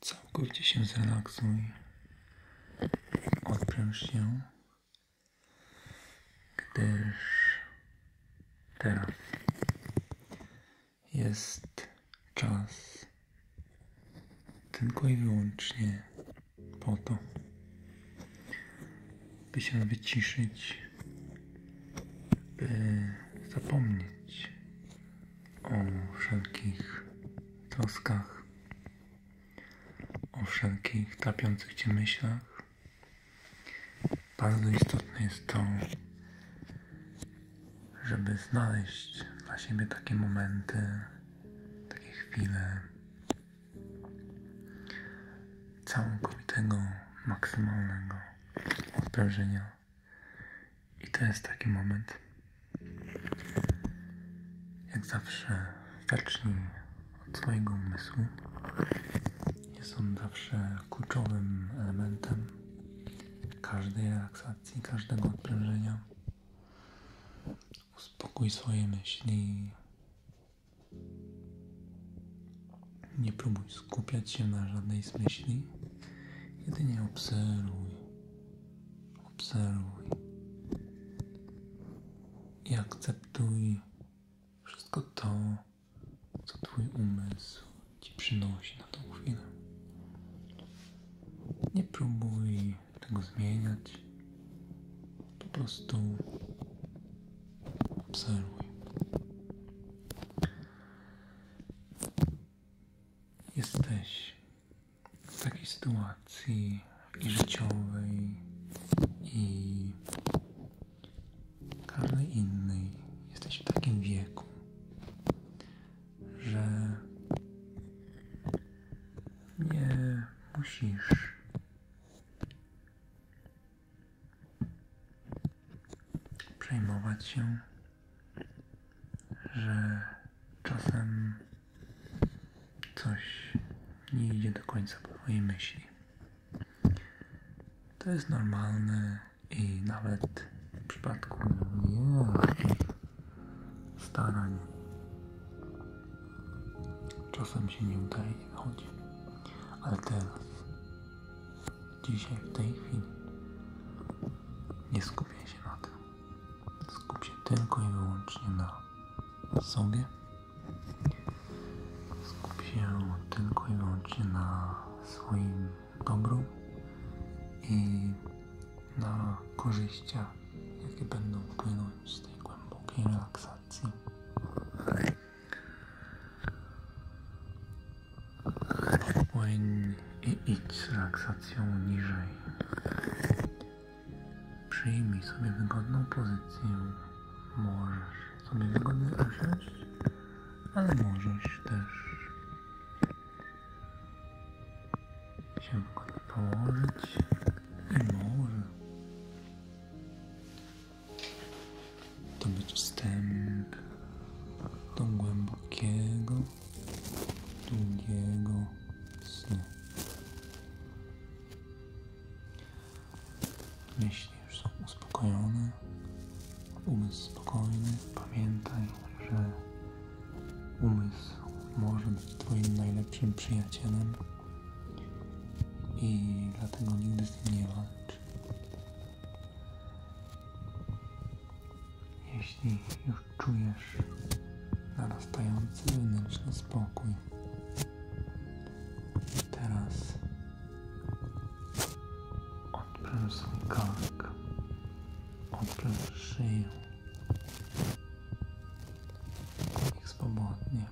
Całkowicie się zrelaksuj. Odpręż się, gdyż teraz jest czas tylko i wyłącznie po to, by się wyciszyć by zapomnieć o wszelkich troskach, o wszelkich trapiących Cię myślach. Bardzo istotne jest to, żeby znaleźć dla siebie takie momenty, takie chwile całkowitego, maksymalnego odprężenia i to jest taki moment. Jak zawsze, zacznij od swojego umysłu. Jest on zawsze kluczowym elementem każdej relaksacji, każdego odprężenia. Uspokój swoje myśli. Nie próbuj skupiać się na żadnej z myśli, jedynie obserwuj, obserwuj i akceptuj wszystko to, co Twój umysł Ci przynosi na tą chwilę. Nie próbuj tego zmieniać, po prostu obserwuj. Jesteś w takiej sytuacji i życiowej, i każdej innej. Jesteś w takim wieku, że nie musisz przejmować się, że czasem coś nie idzie do końca po Twojej myśli. To jest normalne i nawet w przypadku wielkich starań czasem się nie udaje i Ale teraz Dzisiaj, w tej chwili. Nie skupiaj się na tym. Skup się tylko i wyłącznie na sobie. Skup się tylko i wyłącznie na swoim dobru i na korzyściach, jakie będą płynąć z tej głębokiej relaksacji. Płyń i idź z relaksacją niżej. Przyjmij sobie wygodną pozycję. Możesz sobie wygodnie usiąść, ale możesz też się wygodnie położyć i może to być wstęp do głębokiego, długiego snu. Myśli już są uspokojone, umysł spokojny. Pamiętaj, że umysł może być Twoim najlepszym przyjacielem i dlatego nigdy z nim nie walczy. Jeśli już czujesz narastający wewnętrzny spokój, teraz odpręż swój kark, odpręż szyję, ich spokojnie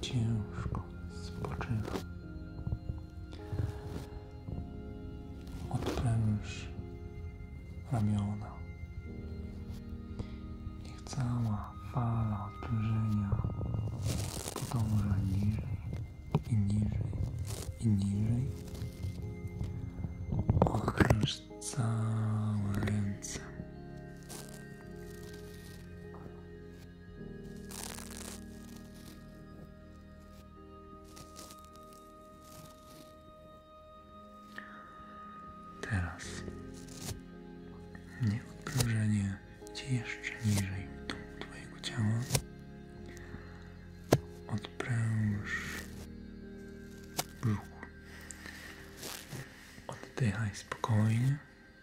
ciężko spoczywa. Odpręż ramiona. Niech cała fala odprężenia podąża niżej i niżej i niżej. Okręż całe ręce. Teraz nieodprężenie Ci jeszcze niżej w dół Twojego ciała. Odpręż brzuch. Oddychaj spokojnie.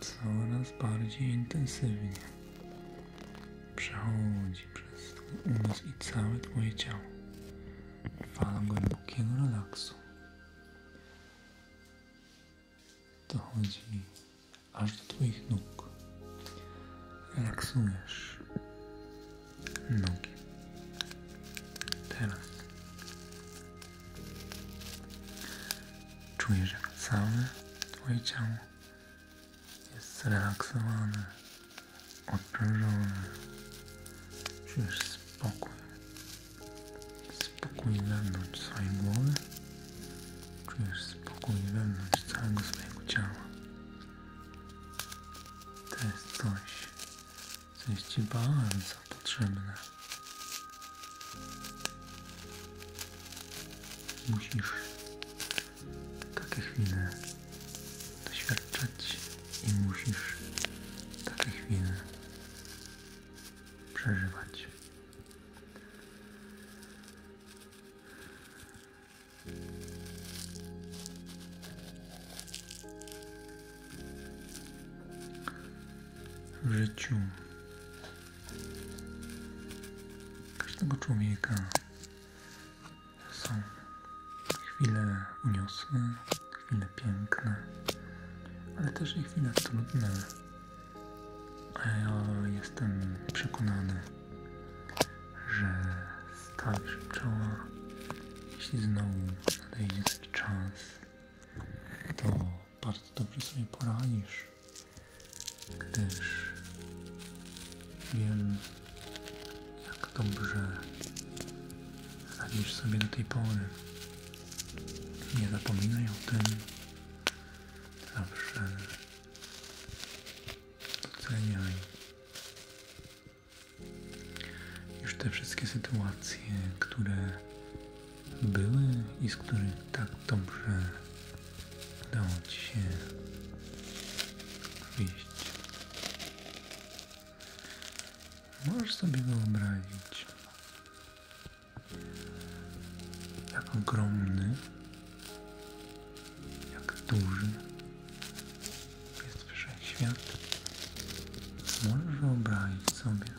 coraz bardziej intensywnie przechodzi przez Twój umysł i całe Twoje ciało. Fala głębokiego relaksu. Dochodzi aż do Twoich nóg. Relaksujesz nogi. Teraz Czujesz, jak całe Twoje ciało jest zrelaksowane, odprężone. Czujesz spokój. Spokój wewnątrz swojej głowy. Czujesz spokój wewnątrz całego swojego ciała. To jest coś, co jest Ci bardzo potrzebne. Musisz takie chwile doświadczać i musisz takie chwile przeżywać. W życiu każdego człowieka są chwile uniosłe, chwile piękne, ale też i chwile trudne. A ja jestem przekonany, że stawisz czoła, jeśli znowu nadejdzie taki czas, to bardzo dobrze sobie poradzisz, gdyż wiem, jak dobrze radzisz sobie do tej pory. Nie zapominaj o tym. Zawsze doceniaj, iż te wszystkie sytuacje, które były i z których tak dobrze udało Ci się wyjść. Możesz sobie wyobrazić, jak ogromny, jak duży jest wszechświat. Możesz wyobrazić sobie,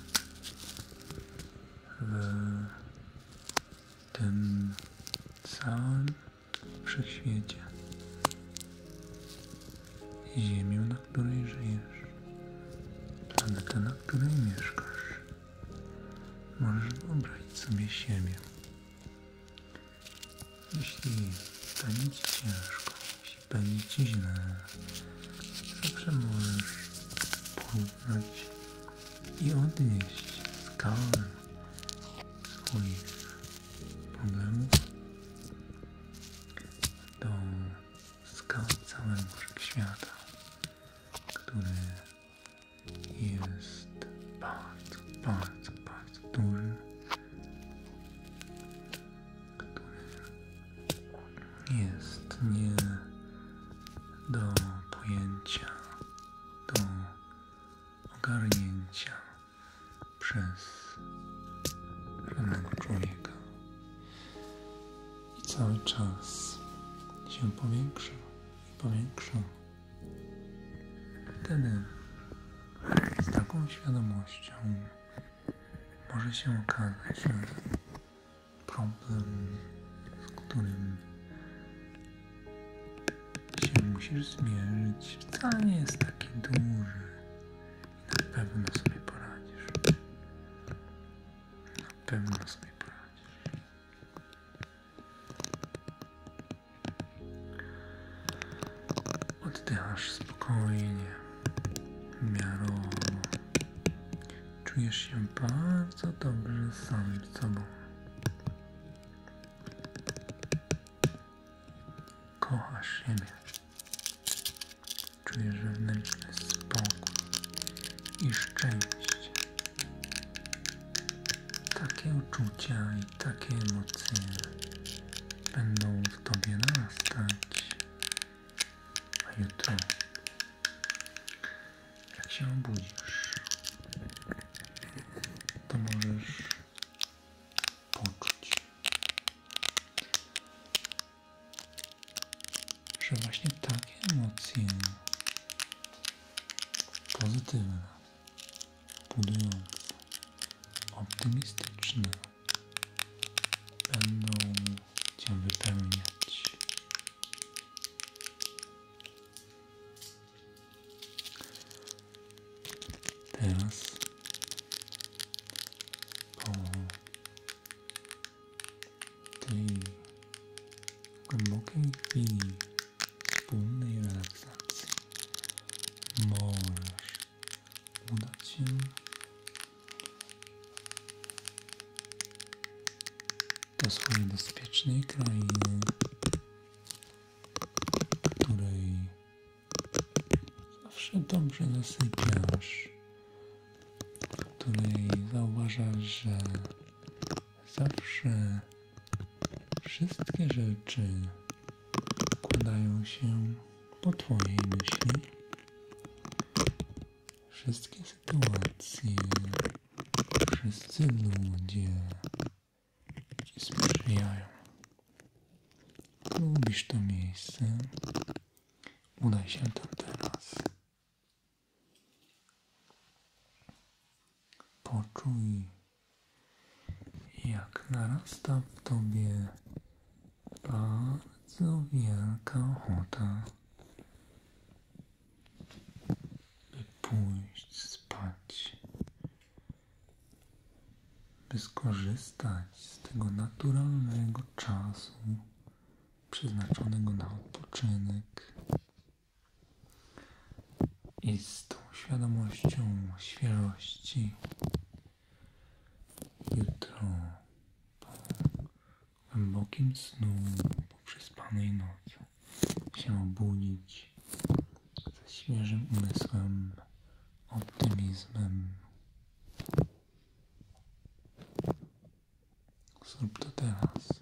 w tym całym wszechświecie. Ziemię, na której żyjesz, planetę, na której mieszkasz. Możesz wyobrazić sobie siebie. Jeśli to nie ciężko, jeśli będzie ci źle, możesz porównać i odnieść skalę swoich problemów do skał całego wszechświata, który jest bardzo, bardzo, bardzo duży jest nie do pojęcia, do ogarnięcia przez żadnego człowieka i cały czas się powiększa i powiększa. Wtedy z taką świadomością może się okazać, że problem, z którym się musisz zmierzyć, wcale nie jest taki duży i na pewno sobie poradzisz. Na pewno sobie poradzisz. Oddychasz spokojnie miarowo. Czujesz się bardzo dobrze sam sobą. Kochasz siebie. Czujesz wewnętrzny spokój i szczęście. Takie uczucia i takie emocje będą w Tobie narastać a jutro, jak się obudzisz, to możesz poczuć, że właśnie takie emocje pozytywne, budujące, optymistyczne, będą Cię wypełniać. Teraz po tej głębokiej chwili wspólnej relaksacji możesz udać się. Do swojej bezpiecznej krainy, w której zawsze dobrze zasypiasz, w której zauważasz, że zawsze wszystkie rzeczy Kładają się po Twojej myśli. Wszystkie sytuacje, wszyscy ludzie Ci sprzyjają. Lubisz to miejsce, udaj się tam teraz. Poczuj jak narasta w tobie bardzo wielka ochota, by pójść spać, by skorzystać z tego naturalnego czasu przeznaczonego na odpoczynek i z tą świadomością świeżości Jutro po głębokim snu, po przespanej nocy się obudzić ze świeżym umysłem, optymizmem. Zrób to teraz.